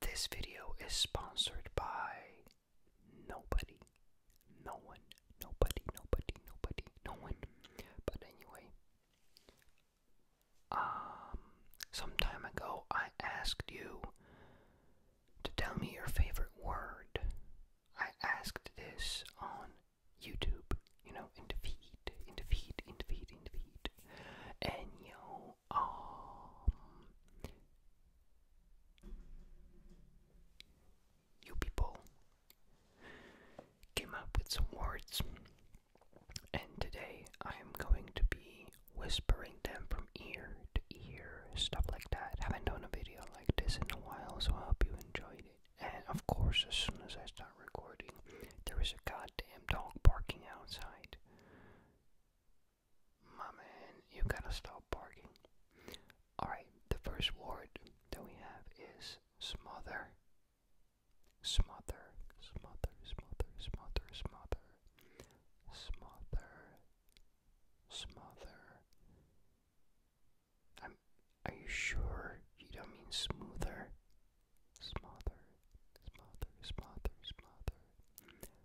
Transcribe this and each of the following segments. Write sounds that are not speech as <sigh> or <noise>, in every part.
This video is sponsored by nobody. No one. Nobody, nobody, nobody, no one. But anyway, um, some time ago I asked you to tell me your favorite word. I asked this on YouTube, you know, in the feed, in the feed, in the feed, in the feed. And you um, you people came up with some words, and today I am going to be whispering them from ear to ear, stuff like that. Haven't done a video like this in a while, so I hope you enjoyed it. And of course, as soon as I start recording, there is a goddamn dog barking outside. My man, you gotta stop barking. Alright, the first word that we have is smother. Smother, smother, smother, smother, smother, smother, smother. Are you sure you don't mean smoother? Smother, smother, smother, smother,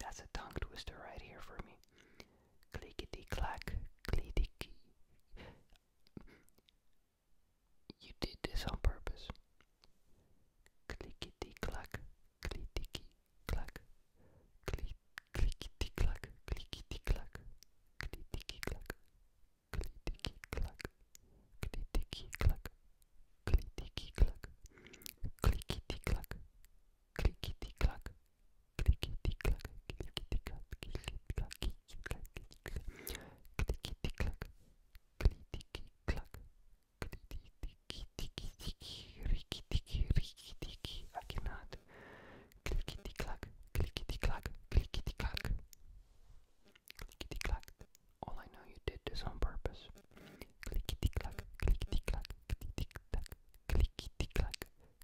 That's a tongue twister right here for me. Clickety clack, clickety. You did this on purpose. Clickety clack, clickety clack, click, clickety clack, clickety clack, clickety clack, clickety clack, clickety clack, clickety clack, clickety clack, clickety clack, clickety clack, clickety clack, clickety clack, clickety clack, clickety clack, clickety clack, clickety ticky ticky, ricky ticky, ricky ticky. I cannot. Clickety clack, clickety clack, clickety clack, clickety clack. All I know, you did this on purpose. Clickety clack, clickety clack, clickety clack, clickety clack,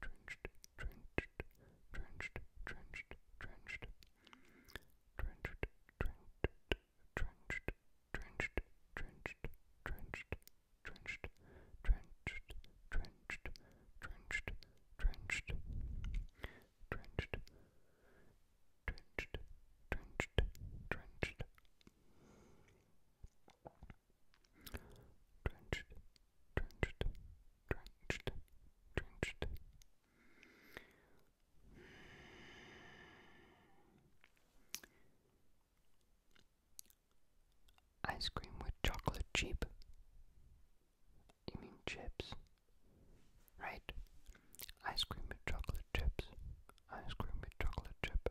drenched, drenched, drenched, drenched, drenched, drenched, drenched, drenched, drenched, drenched, drenched, drenched, drenched, drenched, drenched, drenched, drenched, drenched, drenched, drenched drenched, drenched, drenched, drenched. Ice cream with chocolate chip. You mean chips? Right. Ice cream with chocolate chips. Ice cream with chocolate chip.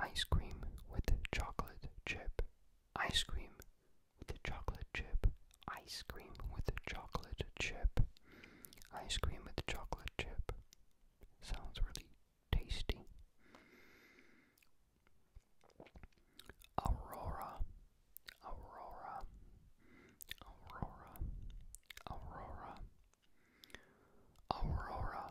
Ice cream with chocolate chip. Ice cream with chocolate chip. Ice cream with chocolate chip. Ice cream with chocolate chip. Sounds really tasty. Aurora. Aurora. Aurora. Aurora. Aurora.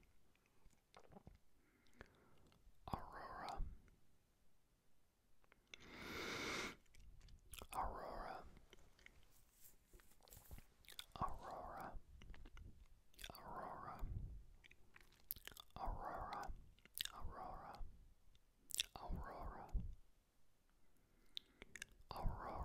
Aurora. Aurora. Aurora. Aurora. Aurora. Aurora. Aurora. Aurora.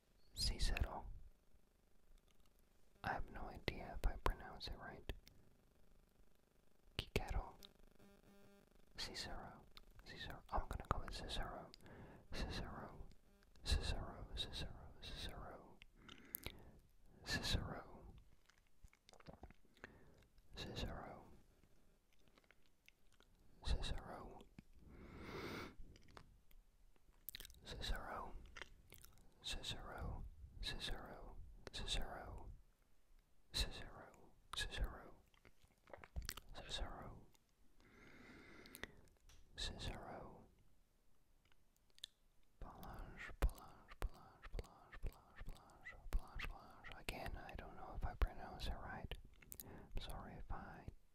Cicero. I have no idea if I pronounce it right. Kikero. Cicero. Cicero. I'm gonna go with Cicero. Cicero. Cicero. Cicero. Cicero. Cicero. Cicero. Cicero. Cicero, Cicero, Cicero, Cicero, Cicero, Cicero, Cicero, Cicero, Blanche, Blanche, Blanche, Blanche, Blanche, Blanche, Blanche, Again, I don't know if I pronounce it right. sorry if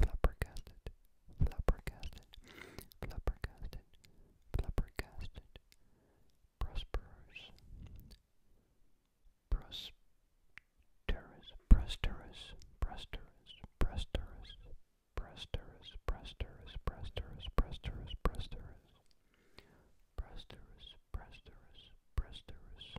flabbergasted, flabbergasted, flabbergasted, flabbergasted, prosperous, prosperous, prosperous, prosperous, prosperous, prosperous, prosperous, prosperous, prosperous, prosperous, prosperous, prosperous, prosperous.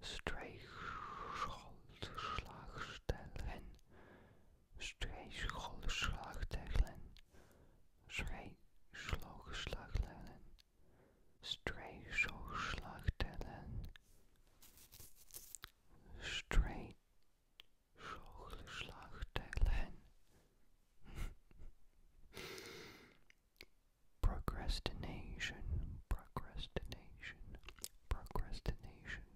Strijkschoolslagstellen, strijkschoolslagtellen, strijkschoolslagtellen, strijkschoolslagtellen, strijkschoolslagtellen. <laughs> Procrastination, procrastination, procrastination,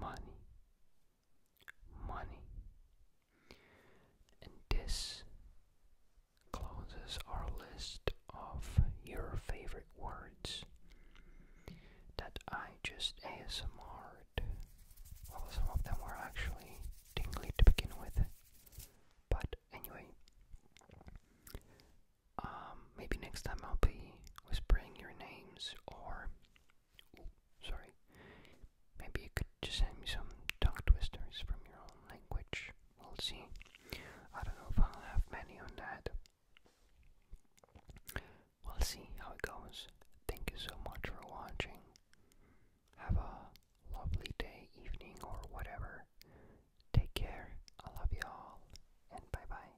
money, money. And this closes our list of your favorite words that I just ASMR'd. Well, some of them were actually tingly to begin with. But anyway, um, maybe next time I'll be whispering your names or sorry. Maybe you could just send me some tongue twisters from your own language. We'll see. I don't know if I'll have many on that. We'll see how it goes. Thank you so much for watching. Have a lovely day, evening, or whatever. Take care. I love you all. And bye bye.